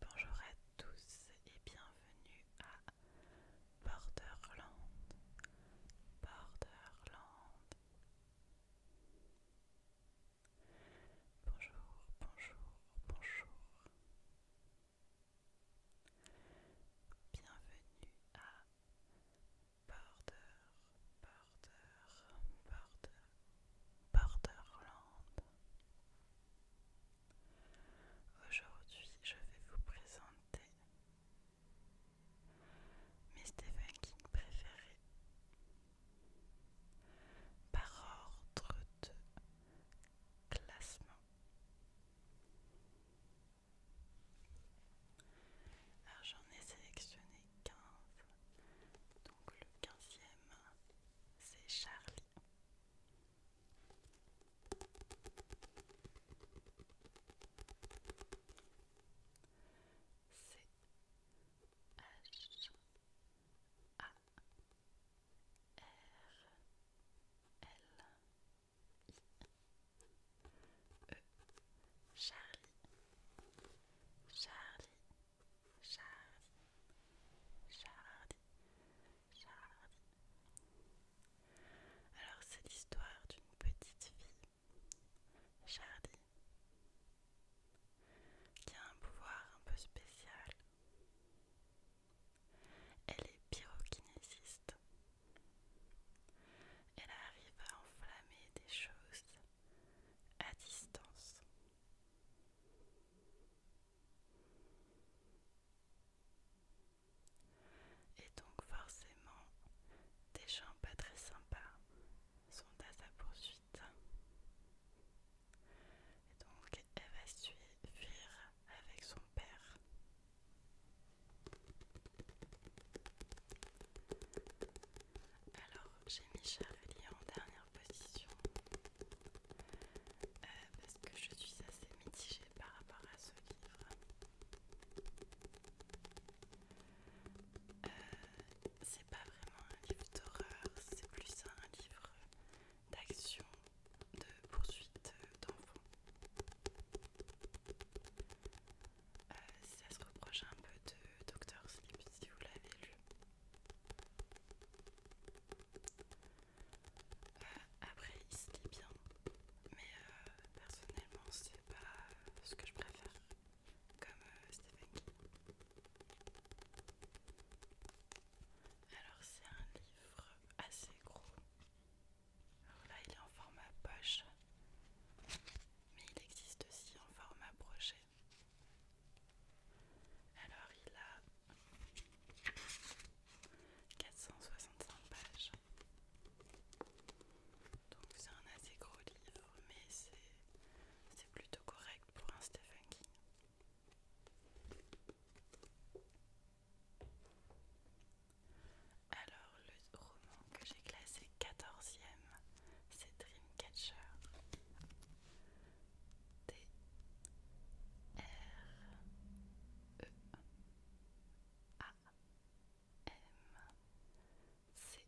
Bonjour à tous et bienvenue à Borderland. Borderland. Bonjour, bonjour, bonjour. Bienvenue à Border, Border, Border. Borderland. Aujourd'hui, je vais vous présenter mes Stephen King préférés par ordre de classement. Alors j'en ai sélectionné 15, donc le 15e c'est Charlie. C H A R L I E Charlie Charlie Chardi, Chardi, Alors c'est l'histoire d'une petite fille, Chardi, qui a un pouvoir un peu spécial. Elle est pyrokinésiste. Elle arrive à enflammer des choses à distance. Et donc forcément, des gens pas très sympas sont à sa poursuite. Et donc elle va suivre avec son père. Alors j'ai mis Charlie en dernière position. Euh, parce que je suis assez mitigée par rapport à ce livre. Euh, c'est pas vraiment un livre d'horreur, c'est plus un livre d'action, de poursuite d'enfants. Euh, ça se reproche un peu de Dr Sleep si vous l'avez lu. Euh, après, il se lit bien, mais euh, personnellement, c'est pas euh, ce que je préfère, comme Stephen Alors, c'est un livre assez gros. Alors là, il est en format poche, mais il existe aussi en format brochet. Alors il a 465 pages. Donc c'est un assez gros livre, mais c'est plutôt correct pour un Stephen King. Alors le roman que j'ai classé 14e, c'est Dreamcatcher. T R E A M C A T C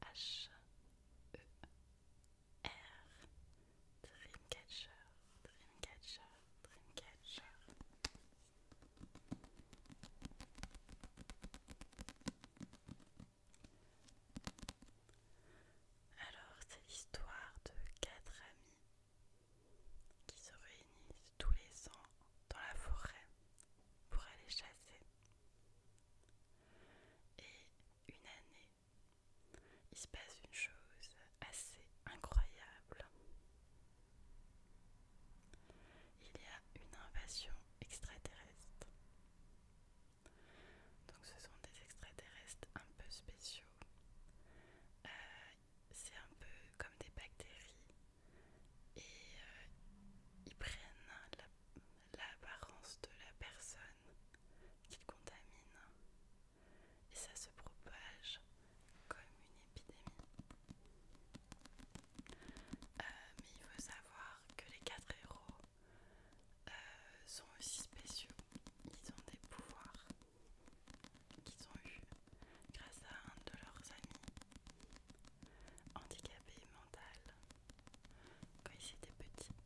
H E R Dreamcatcher Dreamcatcher Dreamcatcher alors, c'est l'histoire de quatre amis qui se réunissent tous les ans dans la forêt pour aller chasser. Et une année, il se passe une chose assez incroyable il y a une invasion extraterrestre. Donc ce sont des extraterrestres un peu spéciaux. Euh, c'est un peu comme des bactéries et euh, ils prennent l'apparence de la personne qu'ils contaminent et ça se propage comme une épidémie. Euh, mais il faut savoir que les quatre héros euh, sont aussi spéciaux. Ils ont des pouvoirs qu'ils ont eus grâce à un de leurs amis handicapé mental quand ils étaient petits.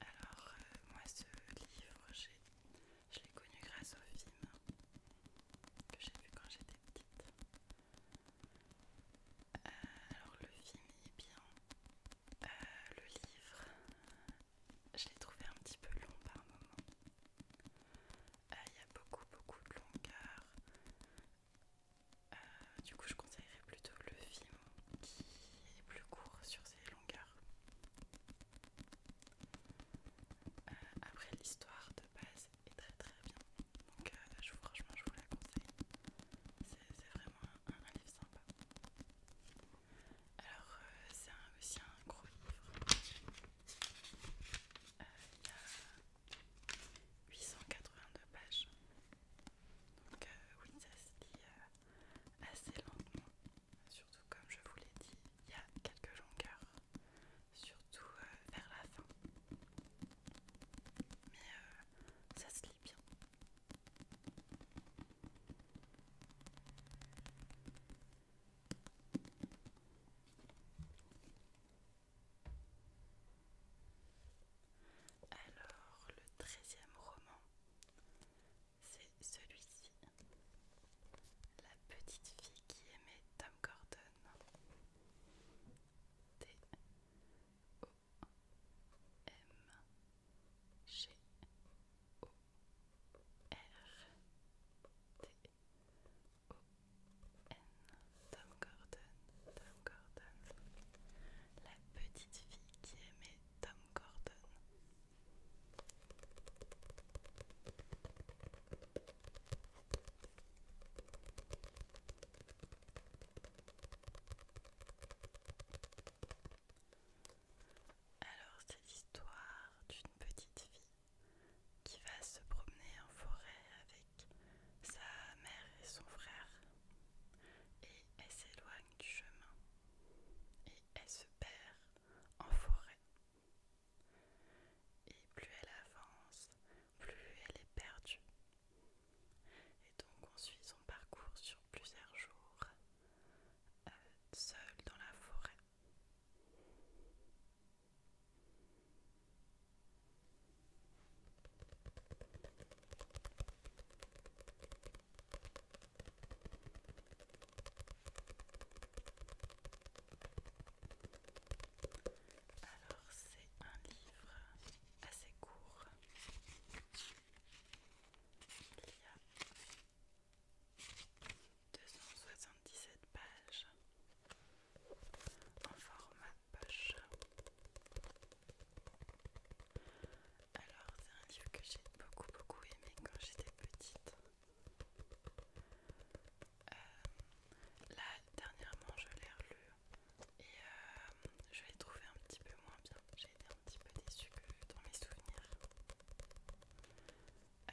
Alors, euh, moi, ce livre, j'ai je l'ai connu grâce au film que j'ai vu quand j'étais petite. Euh, alors le film est bien. Euh, le livre, je l'ai trouvé un petit peu long par moment. Euh, il y a beaucoup beaucoup de longueurs, du coup, je conseillerais plutôt le film qui est plus court sur ses longueurs. Euh, après l'histoire de base est très très bien. Donc euh, franchement je vous la conseille. C'est vraiment un, livre sympa. Alors euh, c'est aussi un gros livre. il y a 882 pages. Donc oui ça se lit assez lentement. Surtout comme je vous l'ai dit, il y a quelques longueurs, surtout euh, vers la fin. Mais euh, ça se lit bien. Alors, le treizième roman c'est celui-ci. La petite fille qui aimait Tom Gordon. T O M G O R T O N Tom Gordon, Tom Gordon. La petite fille qui aimait Tom Gordon. Alors c'est l'histoire d'une petite fille qui va se promener en forêt avec sa mère et son frère et elle s'éloigne du chemin et elle se perd en forêt et plus elle avance, plus elle est perdue. Et donc on suit son parcours sur plusieurs jours, euh, seul dans la forêt. Alors c'est un livre assez court. Il y a 277 pages en format poche. Alors c'est un livre que j'ai beaucoup beaucoup aimé quand j'étais petite. Euh, là, dernièrement, je l'ai relu et euh, je l'ai trouvé un petit peu moins bien. J'ai été un petit peu déçue que dans mes souvenirs.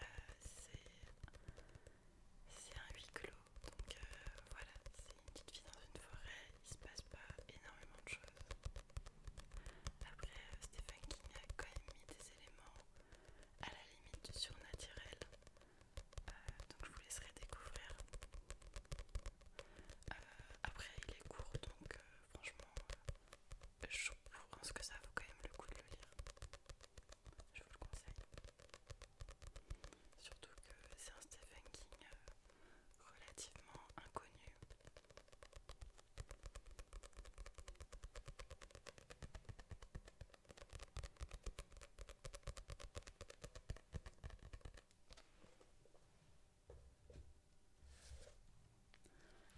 Euh, c'est un huis clos, donc voilà, c'est une petite vie dans une forêt, il se passe pas énormément de choses. Après, Stéphane King a quand même mis des éléments à la limite du surnaturel. Euh, donc je vous laisserai découvrir. Euh, après il est court donc euh, franchement je pense que ça vaut quand même le coup de le lire. Je vous le conseille. Surtout que c'est un Stephen King relativement inconnu.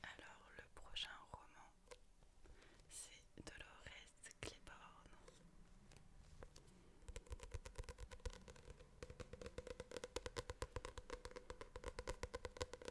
Alors le prochain roman, c'est Dolores Claiborne.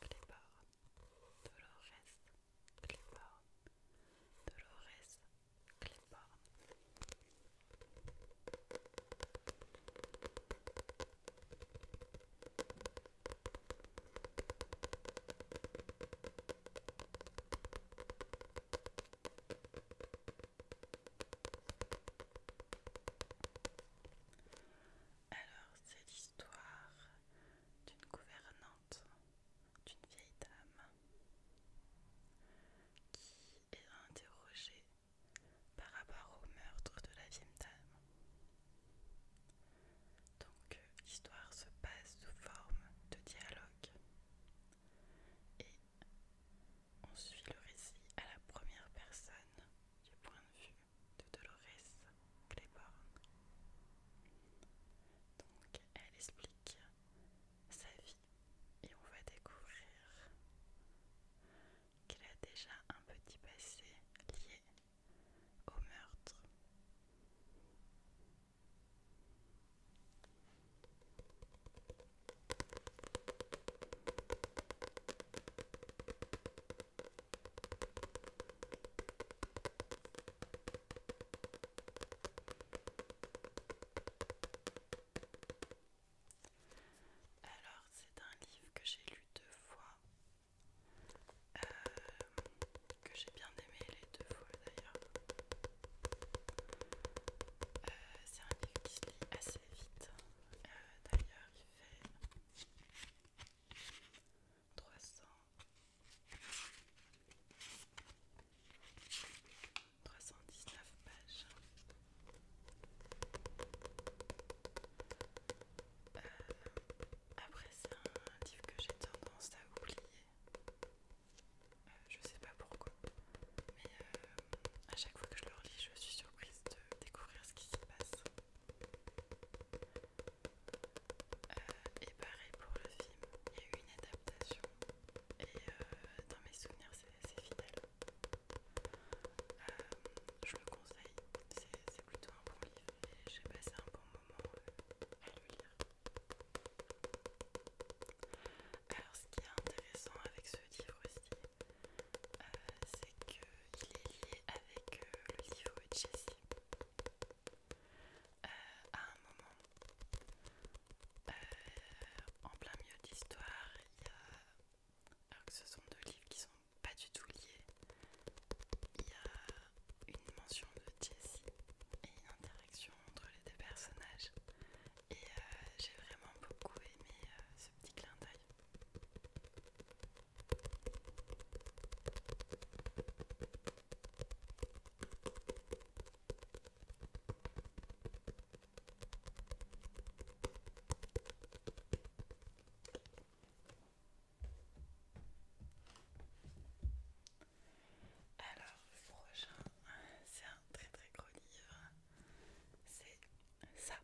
Clébar, Dolores, Clébar, Dolores, Clébar. Alors, c'est l'histoire d'une gouvernante, d'une vieille dame, qui est interrogée par rapport au meurtre de la vieille dame. Donc, l'histoire se passe sous forme de dialogue et on suit le récit à la première personne du point de vue de Dolores Claiborne. Donc, elle explique sa vie et on va découvrir qu'elle a déjà un petit passé lié au meurtre. Alors, c'est un livre que j'ai lu deux fois, euh, que j'ai bien aimé les deux fois d'ailleurs. Euh, c'est un livre qui se lit assez vite. Euh, d'ailleurs, il fait 300 319 pages après c'est un livre que j'ai tendance à oublier euh, je sais pas pourquoi mais euh, à chaque fois que je le relis je suis surprise de découvrir ce qui se passe euh, et pareil pour le film, il y a eu une adaptation et euh, dans mes souvenirs c'est fidèle. Euh, je le conseille, c'est plutôt un bon livre et j'ai passé un bon moment à le lire. Alors ce qui est intéressant avec ce livre aussi, c'est que il est lié avec euh, le livre de Jessie, euh, à un moment, euh, en plein milieu d'histoire, il y a. Alors que ce sont deux livres qui sont pas du tout liés, il y a une mention de Jessie et une interaction entre les deux personnages. Et j'ai vraiment beaucoup aimé ce petit clin d'œil. Alors, prochain, c'est un très très gros livre. C'est ça.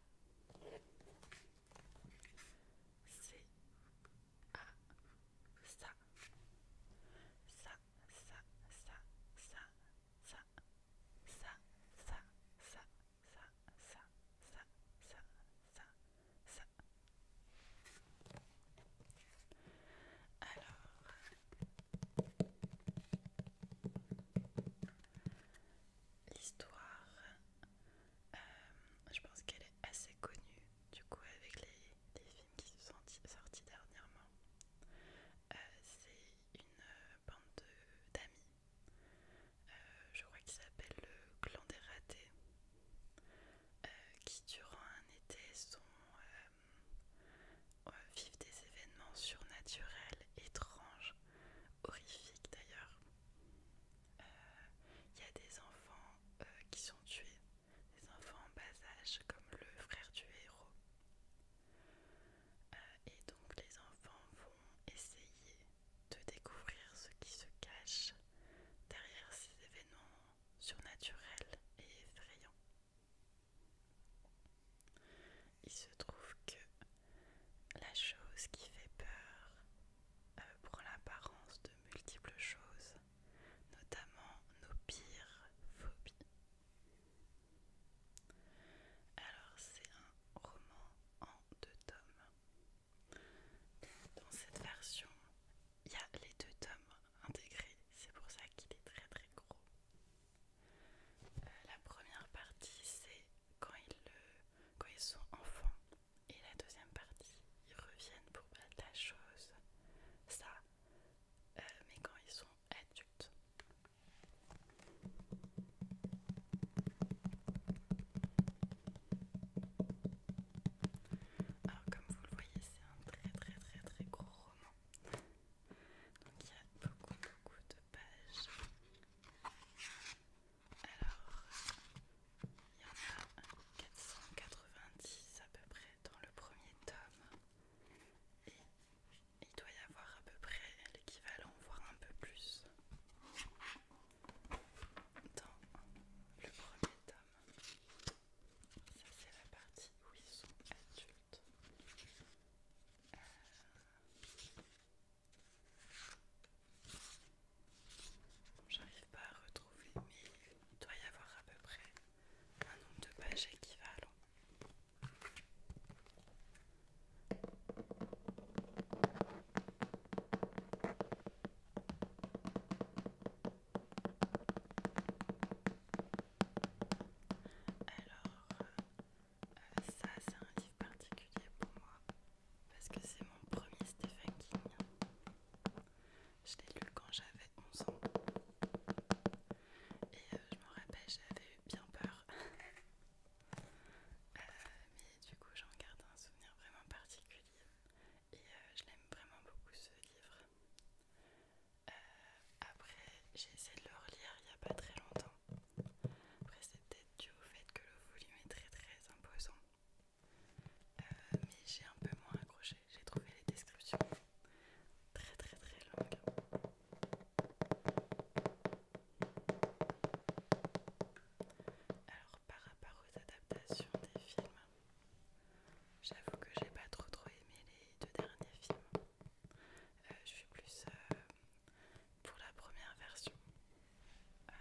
C'est ça, ça, ça, ça, ça, ça, ça. Alors l'histoire, euh, je pense qu'elle est assez connue du coup avec les, films qui sont sortis dernièrement. Euh, c'est une euh, bande d'amis, je crois qu'il s'appelle le clan des ratés, qui durant un été sont... vivent des événements surnaturels, étranges, horrifiques d'ailleurs. Il euh, y a des enfants euh, qui sont tués, des enfants en bas âge, comme le frère du héros. Euh, et donc les enfants vont essayer de découvrir ce qui se cache derrière ces événements surnaturels et effrayants. Il se trouve que la chose qui fait peur euh, prend l'apparence de multiples choses, notamment nos pires phobies. Alors c'est un roman en deux tomes. Dans cette version, il y a les deux tomes intégrés, c'est pour ça qu'il est très très gros. Euh, la première partie, c'est quand, quand ils sont enfants et la deuxième partie, ils reviennent pour pas bah, la chose, ça, euh, mais quand ils sont adultes. Alors comme vous le voyez, c'est un très très très très gros roman. Donc il y a beaucoup beaucoup de pages. Alors, il y en a 490 à peu près dans le premier tome. Et il doit y avoir à peu près l'équivalent, voire un peu plus, dans le premier tome. Ça, c'est la partie où ils sont adultes. Euh, J'arrive pas à retrouver, mais il doit y avoir à peu près un nombre de pages équivalent. Alors, euh, ça c'est un livre particulier pour moi parce que c'est mon premier Stephen King. Je l'ai lu quand j'avais 11 ans. Et euh, je me rappelle, j'avais eu bien peur. Euh, mais du coup, j'en garde un souvenir vraiment particulier. Et euh, je l'aime vraiment beaucoup ce livre. après, j'ai essayé de le relire il n'y a pas très longtemps. Après, c'est peut-être dû au fait que le volume est très très imposant. Euh, mais j'ai un peu moins accroché. J'ai trouvé les descriptions très très très longues. Alors par rapport aux adaptations des films, j'avoue que j'ai pas trop trop aimé les deux derniers films. Euh, je suis plus euh, pour la première version. je euh,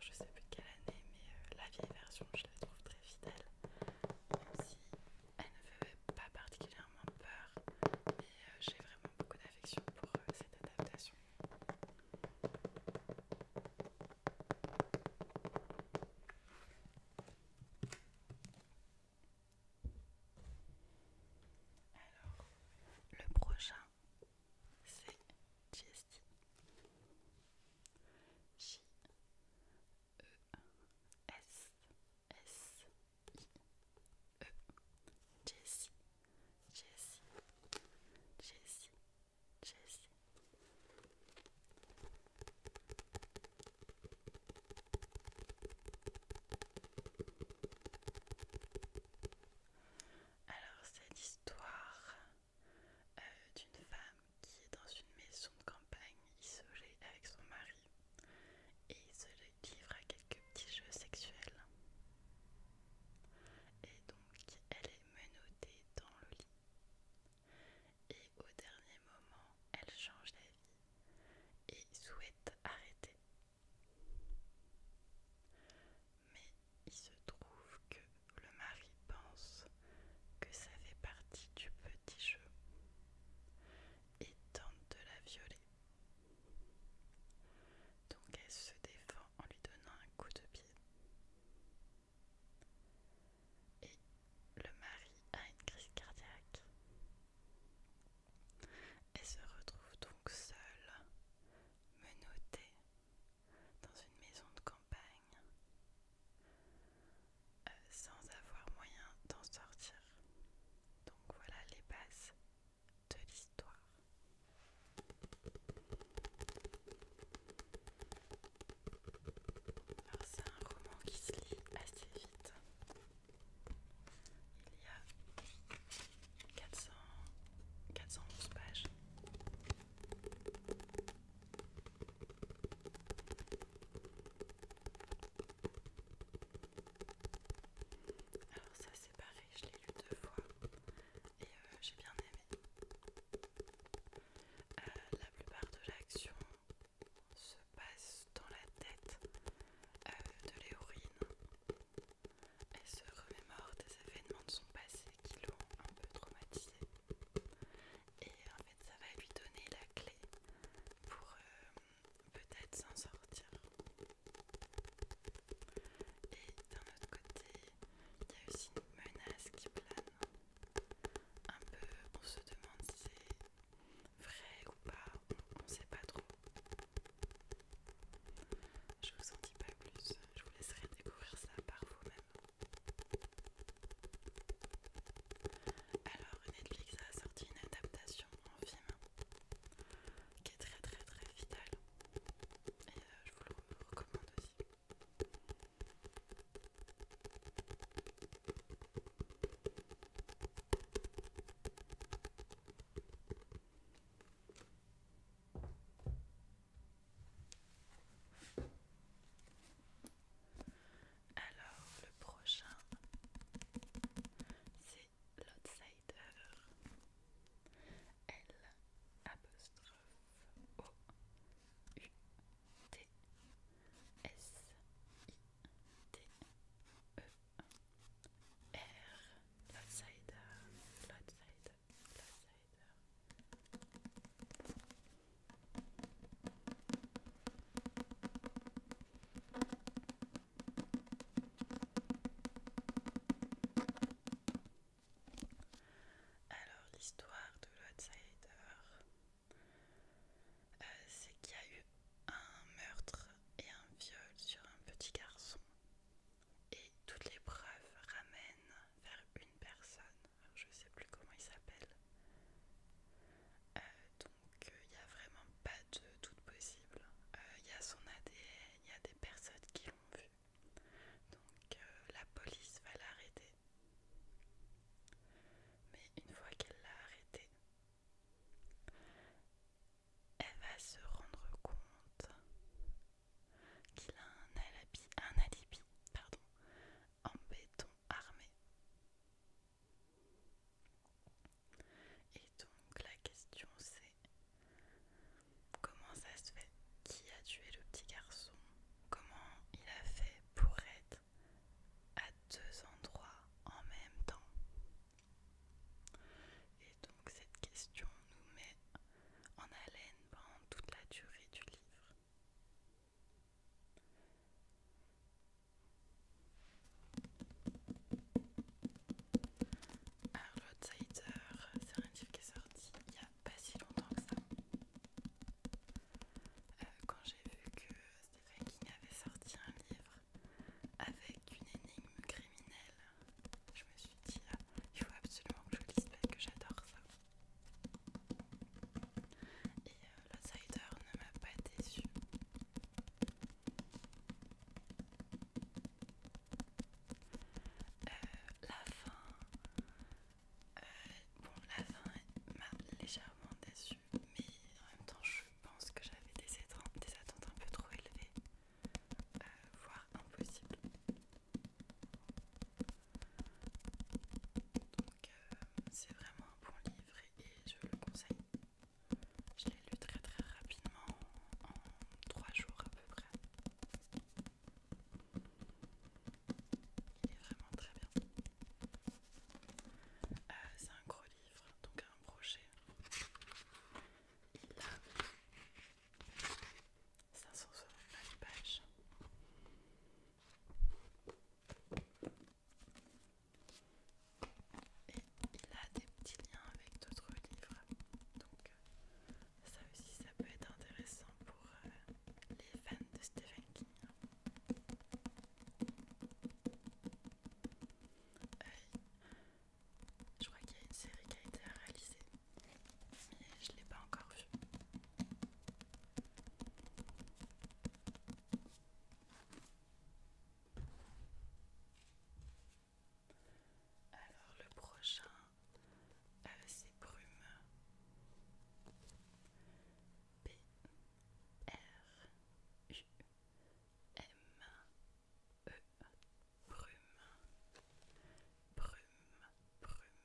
ne je sais plus quelle année, mais euh, la vieille version, je la trouve très fidèle, même si elle ne fait pas particulièrement peur. Mais euh, j'ai vraiment beaucoup d'affection pour cette adaptation. Alors, le prochain c'est Jessie. J E S S I E Jessie, Jessie. Alors c'est l'histoire euh, d'une femme qui est dans une maison de campagne isolée avec son mari et se livre à quelques petits jeux sexuels. Et donc elle est menottée dans le lit. Et au dernier moment, elle change d'avis et souhaite arrêter. Mais il se trouve que le mari pense que ça fait partie du petit jeu et tente de la violer. Donc elle se défend en lui donnant un coup de pied. Et le mari a une crise cardiaque. Elle se retrouve donc seule, menottée dans une maison de campagne euh, sans avoir moyen d'en sortir. Donc voilà les bases de l'histoire. Alors c'est un roman qui se lit assez vite. Il y a 411 pages. Alors ça c'est pareil, je l'ai lu deux fois et euh, j'ai bien aimé. Euh, la plupart de l'action se passe dans la tête euh, de l'héroïne elle se remémore des événements de son passé qui l'ont un peu traumatisé Et en fait, ça va lui donner la clé pour euh, peut-être s'en sortir. Et d'un autre côté, il y a aussi une menace qui plane. Un peu, on se demande si c'est vrai ou pas, on ne sait pas trop. Je vous en dis pas plus, je vous laisserai découvrir ça par vous-même. Alors Netflix a sorti une adaptation en film qui est très très très vitale et euh, je vous le recommande aussi. Alors, le prochain, c'est l'Outsider. L apostrophe O U T S I T E R. L'Outsider, l'Outsider, alors l'histoire de l'outsider, euh, c'est qu'il y a eu un meurtre et un viol sur un petit garçon et toutes les preuves ramènent vers une personne. je sais plus comment il s'appelle. Euh, donc euh, il n'y a vraiment pas de doute possible. Euh, il y a son ADN, il y a des personnes qui l'ont vu. Donc la police va l'arrêter. Mais une fois qu'elle l'a arrêté, elle va se rendre compte qu'il a un alibi, un alibi pardon, en béton armé. Et donc la question c'est comment ça se fait Qui a tué le petit garçon Comment il a fait pour être à deux endroits en même temps et donc cette question nous met en haleine pendant toute la durée du livre. Alors l'Outsider, c'est un livre qui est sorti il n'y a pas si longtemps que ça. Euh, quand j'ai vu que Stephen King avait sorti un livre avec une énigme criminelle je me suis dit, ah, il faut absolument que je l'espère parce que j'adore ça. Et euh, l'outsider ne m'a pas déçue euh, la fin, euh, bon, la fin m'a légèrement déçue, mais en même temps, je pense que j'avais des attentes un peu trop élevées voire impossible. Donc euh, c'est vraiment un bon livre et, je le conseille. Je l'ai lu très très rapidement en 3 jours à peu près. Il est vraiment très bien. Euh, c'est un gros livre, donc un brochet. Il a 569 pages. Et il a des petits liens avec d'autres livres. Donc ça aussi ça peut être intéressant pour les fans de Stephen King. je crois qu'il y a une série qui a été réalisée je ne l'ai pas encore vu. Alors le prochain, euh, c'est Brume. B R U M E Brume, brume, brume, brume.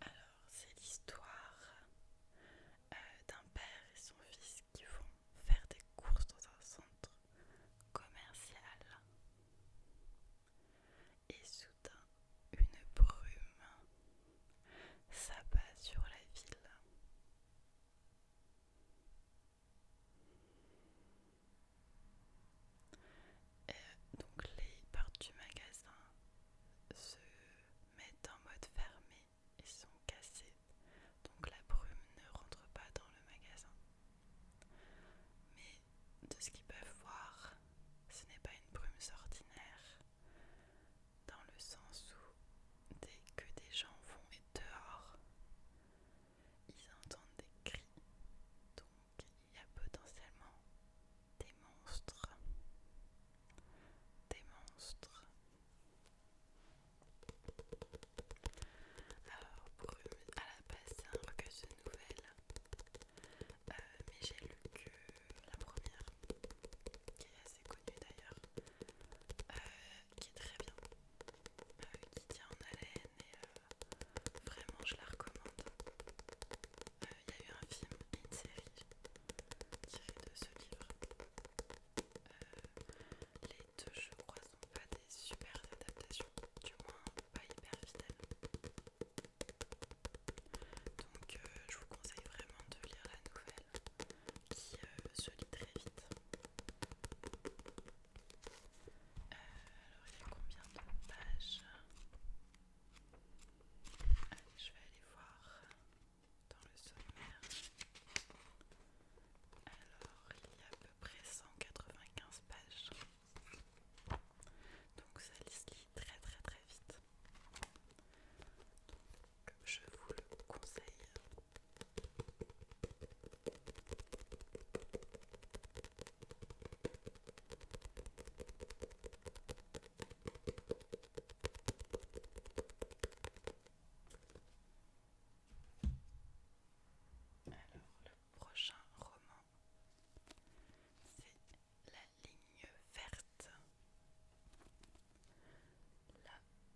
Alors, c'est l'histoire euh, d'un père et son fils qui vont faire des courses dans un centre commercial. Et soudain, une brume s'abat sur la ville. Euh, donc les portes du magasin se mettent en mode fermé et sont cassées, donc la brume ne rentre pas dans le magasin. Mais de ce qu'ils peuvent voir, ce n'est pas une brume ordinaire, dans le sens où dès que des gens vont être dehors, ils entendent des cris, donc il y a potentiellement des monstres. Des monstres. Alors, pour, à la base, c'est un recueil de nouvelles, euh, mais j'ai lu que la première, qui est assez connue d'ailleurs, euh, qui est très bien, qui bah tient en haleine et euh, vraiment je la recommande. Euh, il y a eu un film une série tirée de ce livre. Euh, les deux, je crois, sont pas des super adaptations, du moins pas hyper fidèles. Donc je vous conseille vraiment de lire la nouvelle qui se lit très vite alors il y a combien de pages je vais aller voir dans le sommaire. Alors, il y a à peu près 195 pages. Donc ça lit très très très vite. Donc, je vous le conseille. Alors, le prochain roman, c'est La ligne verte.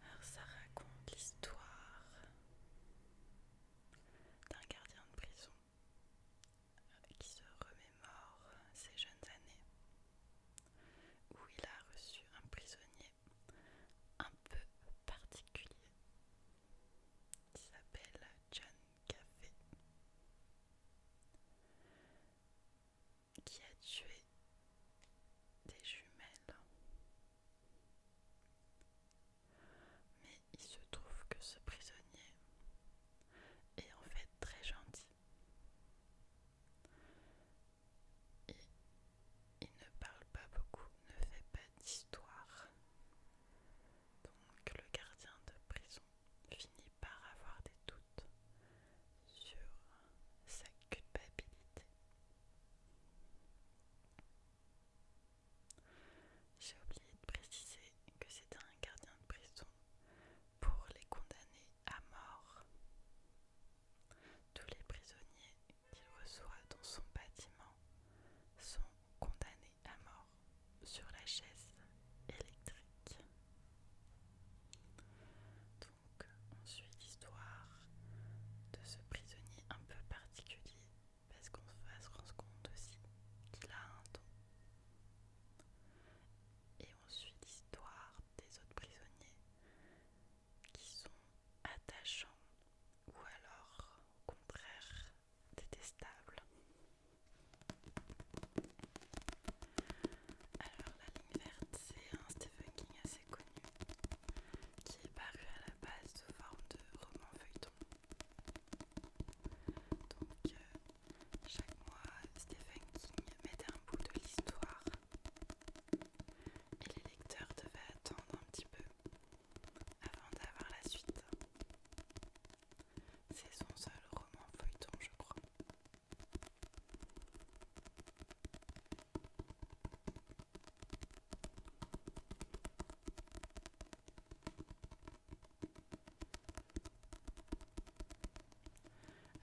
Alors ça raconte l'histoire d'un gardien de prison qui se remémore ses jeunes années où il a reçu un prisonnier un peu particulier qui s'appelle John Café qui a tué des jumelles. Mais il se trouve que ce prisonnier est en fait très gentil. Et il ne parle pas beaucoup, ne fait pas d'histoire. Donc le gardien de prison finit par avoir des doutes sur sa culpabilité. J'ai oublié de préciser que c'était un gardien de prison pour les condamner à mort. Tous les prisonniers qu'il reçoit dans son bâtiment sont condamnés à mort sur la chaise électrique on suit l'histoire de ce prisonnier un peu particulier parce qu'on se rendre compte aussi qu'il a un don. Et on suit l'histoire des autres prisonniers qui sont attachants ou alors au contraire détestables. Alors, La ligne verte, c'est un Stephen King assez connu qui est paru à la base sous forme de roman feuilleton. Donc, euh, chaque mois, Stephen King mettait un bout de l'histoire et les lecteurs devaient attendre un petit peu avant d'avoir la suite. C'est son seul roman feuilleton, je crois.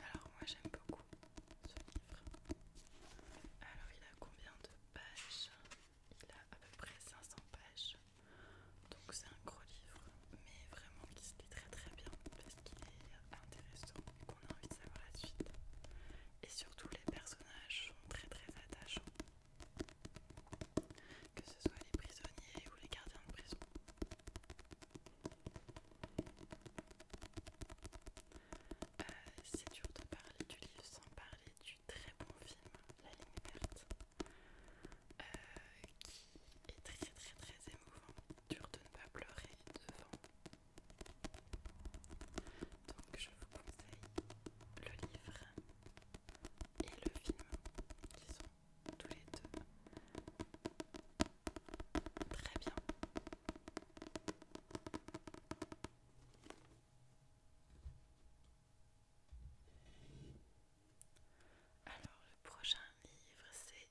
Alors moi j'aime beaucoup ce livre. Alors il a combien de pages Il a à peu près 500 pages. Donc c'est un gros livre, mais vraiment qui se lit très très bien parce qu'il est intéressant qu'on a envie de savoir la suite. Et surtout les personnages sont très très attachants. Que ce soit les prisonniers ou les gardiens de prison. Euh, c'est dur de parler du livre sans parler du très bon film La ligne verte. Euh, qui est très très très émouvant dur de ne pas pleurer devant. Donc je vous conseille le livre et le film qui sont tous les deux très bien. Alors le prochain livre c'est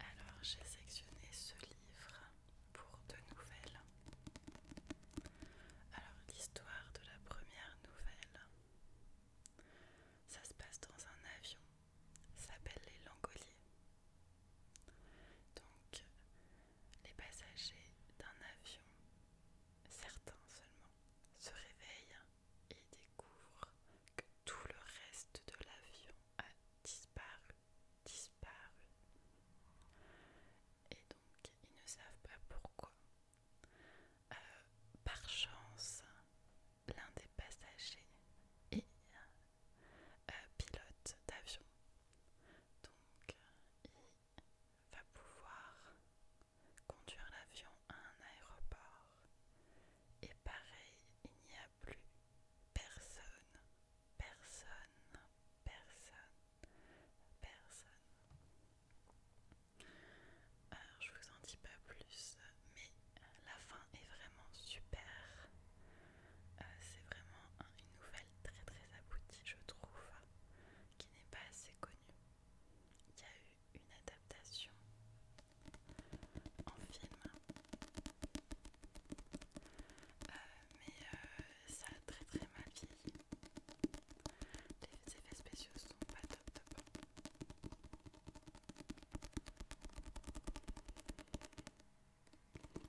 Alors j'ai sectionné ce livre pour deux nouvelles. Alors l'histoire de la première nouvelle, ça se passe dans un avion, s'appelle les Langoliers. Donc les passagers d'un avion, certains seulement, se réveillent et découvre que tout le reste de l'avion a disparu, disparu. Et donc, ils ne savent pas pourquoi. Euh, par chance, l'un des passagers est euh, pilote d'avion. Donc, il va pouvoir conduire l'avion à un aéroport et pareil, il n'y a plus personne, personne, personne, personne. Alors, je vous en dis pas plus, mais la fin est vraiment super. Euh, c'est vraiment une nouvelle très très aboutie, je trouve, qui n'est pas assez connue. Il y a eu une adaptation en film. Euh, mais euh, ça a très très mal vieilli. Les effets spéciaux sont pas top top.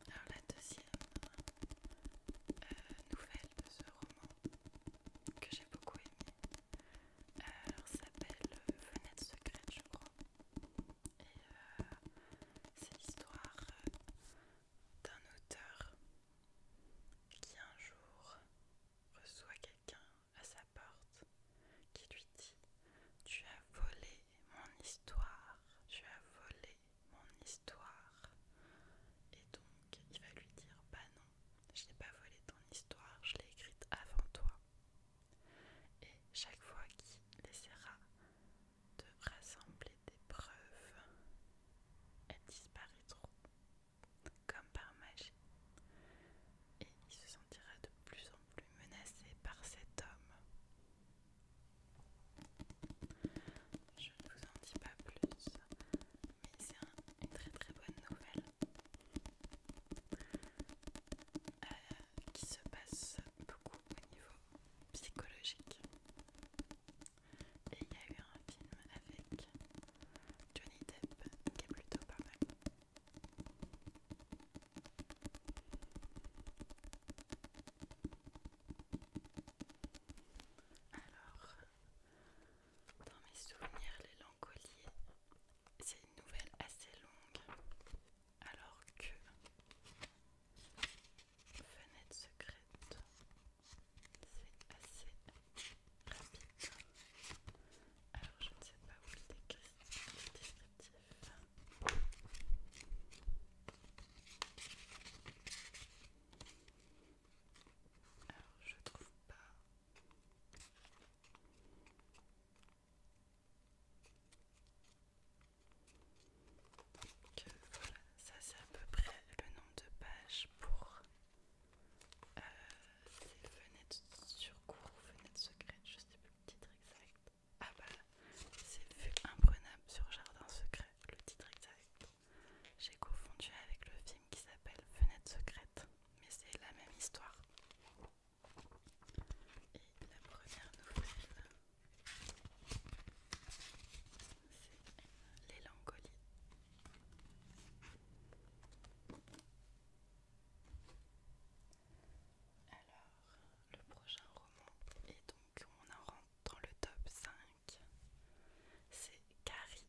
Alors la deuxième euh, nouvelle de ce roman que j'ai beaucoup aimé, alors euh, ça s'appelle euh, Fenêtre secrète je crois. Et euh, c'est l'histoire d'un auteur qui un jour reçoit quelqu'un à sa porte qui lui dit Tu as volé mon histoire, tu as volé mon histoire. Et donc il va lui dire Bah non, je n'ai pas volé ton histoire, je l'ai écrite avant toi et chaque fois qu'il essaiera de rassembler des preuves, elles disparaîtront comme par magie. Et il se sentira de plus en plus menacé par cet homme. Je ne vous en dis pas plus, mais c'est une très très bonne nouvelle. Euh, qui se passe beaucoup au niveau psychologique. Et il y a eu un film avec Johnny Depp qui est plutôt pas mal. Alors, dans mes souvenirs, les Langoliers c'est une nouvelle assez longue alors que Fenêtre secrète c'est assez rapide alors je ne sais pas où le descriptif alors je trouve pas donc euh, voilà, ça c'est à peu près le nombre de pages pour euh, ces fenêtres sur cours ou fenêtres secrètes, je sais plus le titre exact. Ah bah c'est vu imprenable sur Jardin secret, le titre exact. J'ai confondu avec le film qui s'appelle Fenêtres secrètes, mais c'est la même histoire. Et la première nouvelle, c'est l'élancolie. Alors, le prochain roman, et donc on en rentre dans le top 5, c'est Carrie.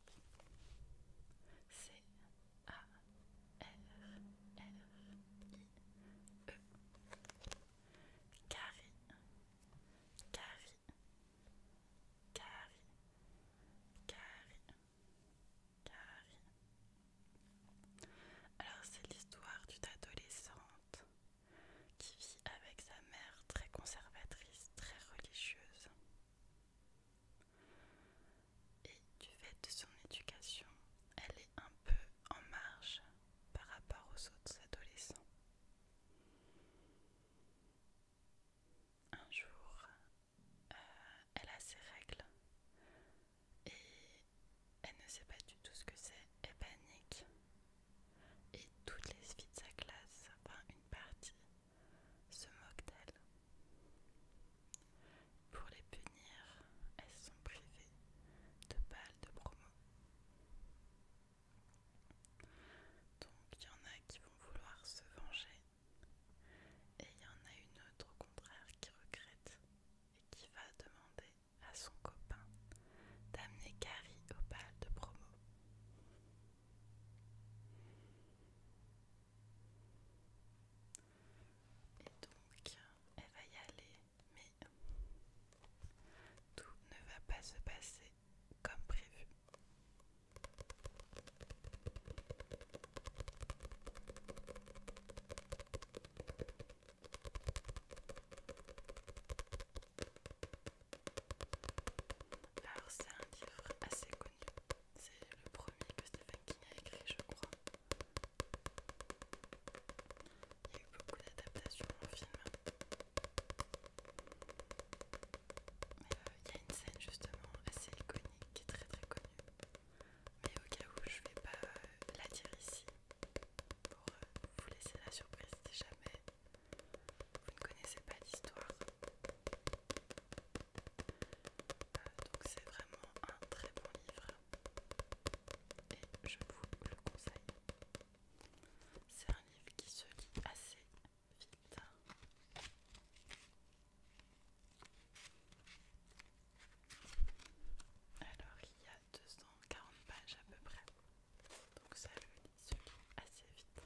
C'est a R I E Carrie Carrie Carrie Alors c'est l'histoire d'une adolescente qui vit avec sa mère très conservatrice, très religieuse et du fait de son éducation, elle est un peu en marge par rapport aux autres adolescents. Un jour, euh, elle a ses règles et elle ne sait pas du tout ce que c'est, elle panique. Et toutes les filles de sa classe, enfin une partie, se moquent d'elle. Pour les punir, elles sont privées de balles de promo. Donc il y en a qui vont vouloir se venger et il y en a une autre au contraire qui regrette et qui va demander à son copain d'amener Carrie au bal de promo. Et donc, elle va y aller, mais tout ne va pas se passer comme prévu. Alors c'est un livre assez connu, c'est le premier que Stephen King a écrit je crois. Il y a eu beaucoup d'adaptations en film. Mais euh, il y a une scène justement assez iconique qui est très très connue. Mais au cas où je vais pas euh, la dire ici pour euh, vous laisser la surprise si jamais vous ne connaissez pas l'histoire donc c'est vraiment un très bon livre et je vous le conseille. C'est un livre qui se lit assez vite. Alors il y a 240 pages à peu près, donc ça le, se lit assez vite.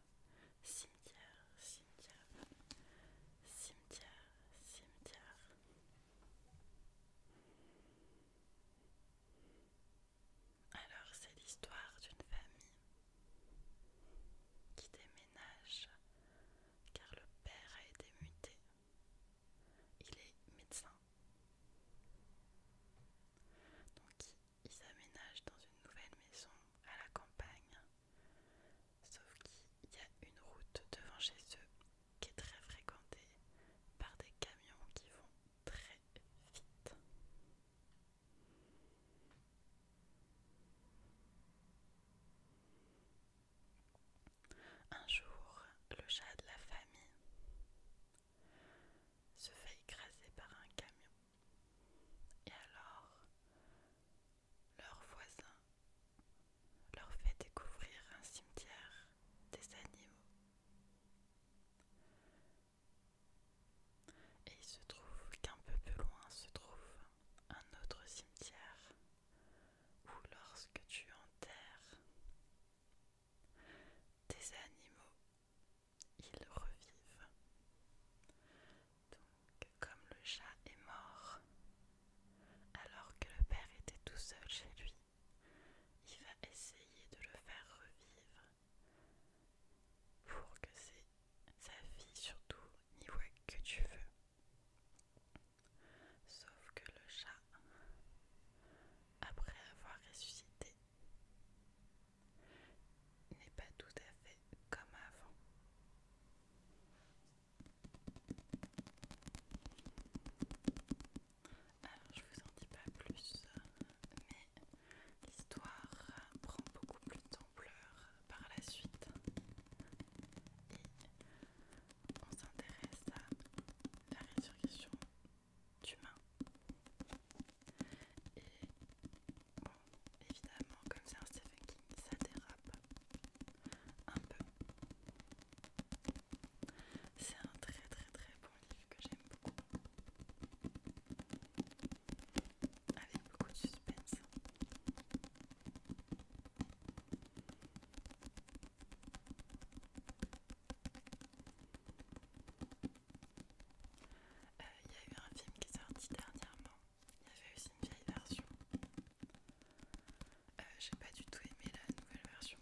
cimetière, cimetière, cimetière, cimetière. Alors c'est l'histoire d'une famille qui déménage car le père a été muté. Il est médecin. Donc ils aménagent dans une nouvelle maison à la campagne Sauf qu'il y a une route devant chez eux qui est très fréquentée par des camions qui vont très vite. Un jour, le chat de la famille se fait écraser par un camion. Et alors, leur voisin leur fait découvrir un cimetière des animaux. Et il se trouve qu'un peu plus loin se trouve un autre cimetière où lorsque tu enterres des animaux, ils revivent. Donc, comme le chat est mort, alors que le père était tout seul chez lui, il va essayer de le faire revivre pour que c'est sa fille surtout n'y voit que tu veux. Sauf que le chat, après avoir ressuscité, n'est pas tout à fait comme avant. Alors je vous en dis pas plus, mais l'histoire prend beaucoup plus d'ampleur par la suite et on s'intéresse à la résurrection d'humains. Et évidemment, comme c'est un Stephen King, ça dérape un peu. C'est un très très très bon livre que j'aime beaucoup. Avec beaucoup de suspense. Euh, il y a eu un film qui est sorti dernièrement il y avait aussi une vieille version. Euh, j'ai pas du tout aimé la nouvelle version.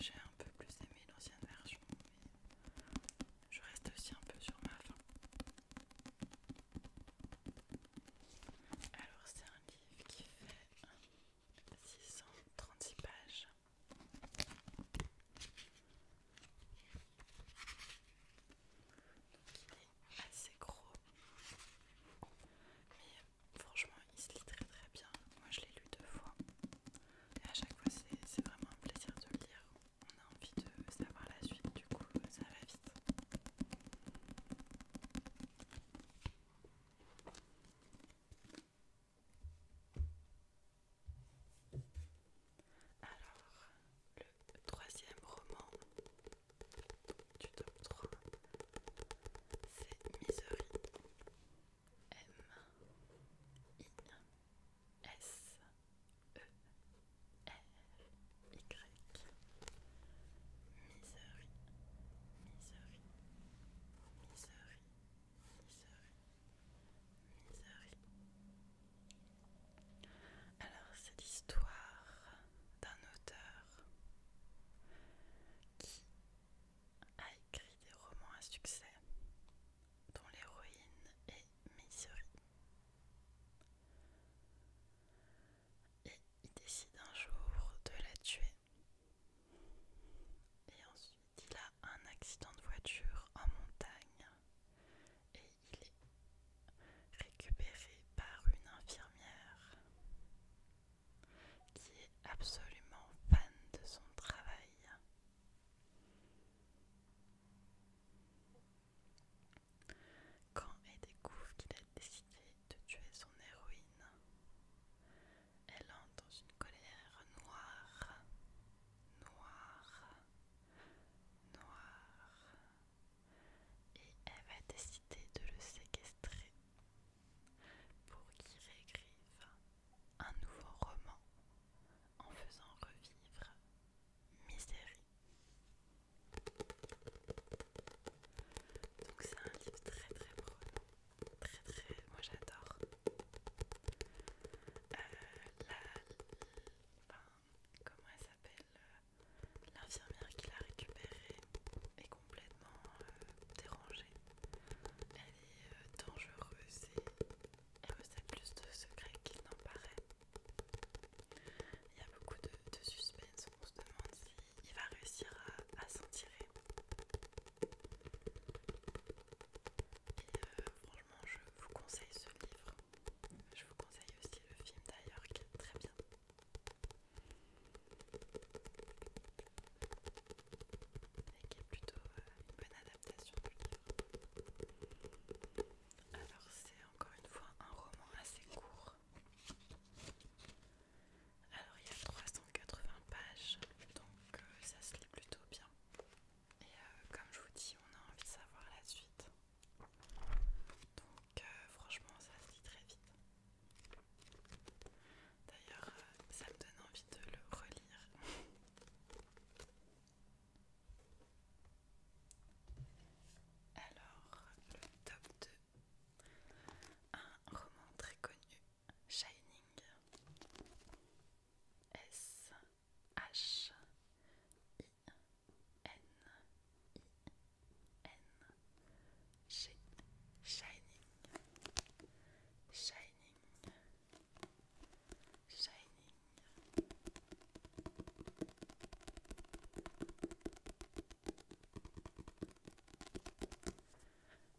J'ai un peu plus aimé l'ancienne version, mais je reste aussi un peu sur ma faim. Alors, c'est un livre qui fait 636 pages. Donc il est assez gros. Mais franchement il se lit très très bien. Moi je l'ai lu deux fois. Et à chaque fois c'est vraiment un plaisir de le lire. On a envie de savoir la suite du coup ça va vite. Alors, le le troisième roman du top 3, c'est e Misery. M-I-S-E-R-Y. Misery, Misery, Misery, Misery, Misery. Alors, c'est l'histoire d'un auteur qui a écrit des romans à succès dont l'héroïne est Missouri. Et il décide un jour de la tuer. Et ensuite, il a un accident de voiture en montagne il est récupéré par une infirmière qui est absolument fan de son travail. Quand elle découvre qu'il a décidé de tuer son héroïne, elle entre dans une colère noire, noire, noire, et elle va décider de le séquestrer pour qu'il réécrive un nouveau roman en faisant revivre Misérie Donc c'est un livre très très beau, très très, moi j'adore. Euh, la, comment elle s'appelle euh, l'infirmière qui l'a récupérée est complètement euh, dérangée. Elle est euh, dangereuse et elle possède plus de secrets qu'il n'en paraît. Il y a beaucoup de, suspense, on se demande s'il va réussir à, s'en tirer. Et franchement, je vous conseille ce livre. Je vous conseille aussi le film d'ailleurs qui est très bien. Et qui est plutôt euh, une bonne adaptation Alors c'est encore une fois un roman assez court. Alors il y a 380 pages, donc euh, ça se lit plutôt bien. Et euh, comme je vous dis, on a envie de savoir la suite. Donc, euh, franchement, ça se lit très vite. D'ailleurs, euh, ça me donne envie de le relire. Alors, le top 2. Un roman très connu, Shining. S H I N I N G Shining Shining Shining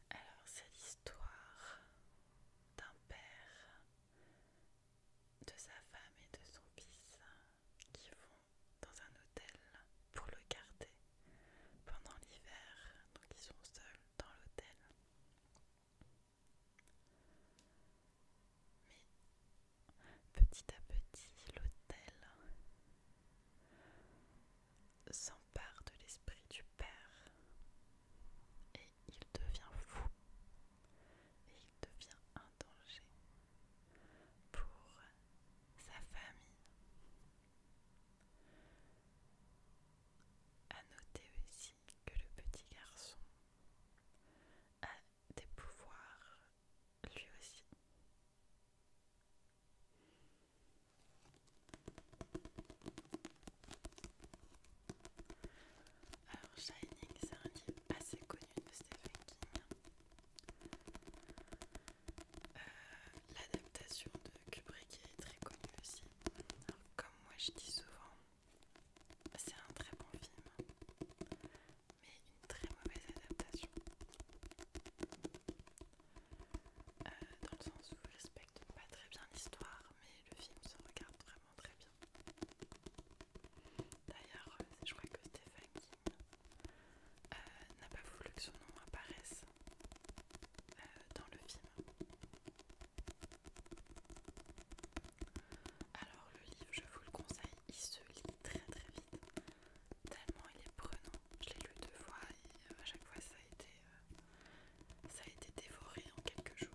alors c'est l'histoire d'un père de sa femme et de son fils qui vont dans un hôtel pour le garder pendant l'hiver. Donc ils sont seuls dans l'hôtel. Mais petit à petit, l'hôtel s'empare de l'esprit du père et il devient fou et il devient un danger pour sa famille. À noter aussi que le petit garçon a des pouvoirs lui aussi. Alors Shining, c'est un livre assez connu de Stephen King. Euh, l'adaptation de Kubrick est très connue aussi. comme moi je dis souvent, c'est un très bon film, mais une très mauvaise adaptation. Euh, dans le sens où je respecte pas très bien l'histoire, mais le film se regarde vraiment très bien. D'ailleurs, euh, je crois que Stephen euh, n'a pas voulu que son nom apparaisse euh, dans le film. Alors le livre, je vous le conseille, il se lit très très vite, tellement il est prenant. Je l'ai lu deux fois et à chaque fois ça a été, ça a été dévoré en quelques jours.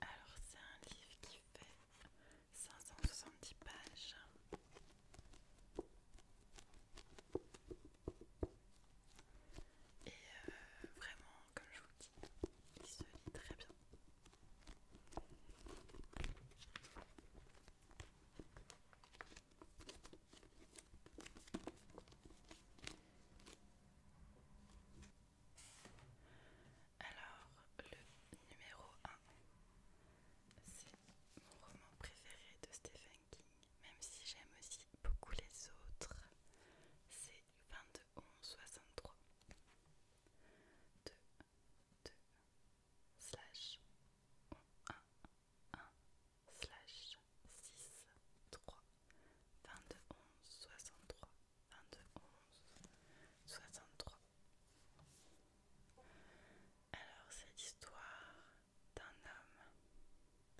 Alors c'est un livre qui fait 570 pages. Et euh, vraiment, comme je vous dis, il se lit très bien. Alors, le numéro 1, c'est mon roman préféré de Stephen King, même si j'aime aussi beaucoup les autres. C'est 22 11 63. 2, 2, slash 1 slash 22 11 63 22 11 63 alors c'est l'histoire d'un homme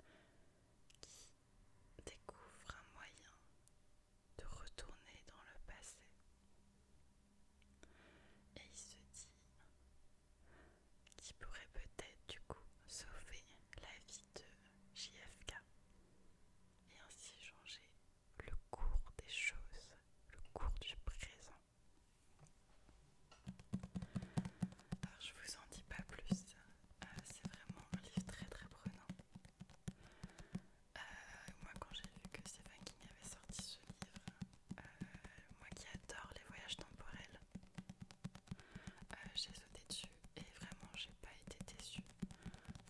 qui découvre un moyen de retourner dans le passé et il se dit qui pourrait peut-être du coup sauver la vie de JFK et ainsi changer le cours des choses, le cours du présent. Alors je vous en dis pas plus, euh, c'est vraiment un livre très très prenant. Euh, moi quand j'ai vu que Stephen King avait sorti ce livre, euh, moi qui adore les voyages temporels, euh, j'ai sauté dessus et vraiment j'ai pas été déçue.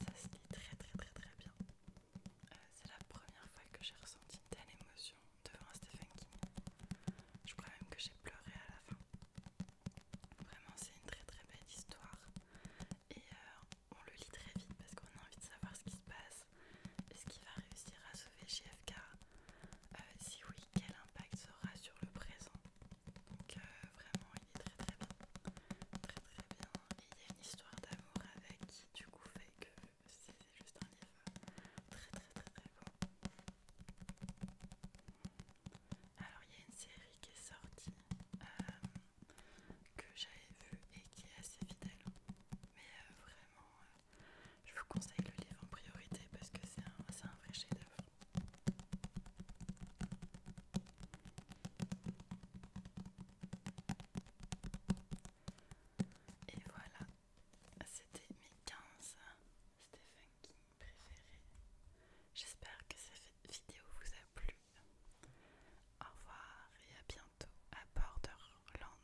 Ça se lit très très très très bien. Euh, c'est la première fois que j'ai ressenti une telle émotion devant Stephen King. Je crois même que j'ai pleuré à la fin. Vraiment, c'est une très très belle histoire et on le lit très vite parce qu'on a envie de savoir ce qui se passe, est-ce qu'il va réussir à sauver GFK euh, Si oui, quel impact sera sur le présent Donc euh, vraiment, il est très très bien. Très très bien. Et il y a une histoire d'amour avec qui du coup fait que c'est juste un livre très très très très bon Alors il y a une série qui est sortie euh, que j'avais vue et qui est assez fidèle, mais vraiment je vous conseille le livre en priorité parce que c'est un, vrai chef-d'œuvre. Et voilà, c'était mes 15 Stephen King préférés. J'espère que cette vidéo vous a plu. Au revoir et à bientôt à Borderland.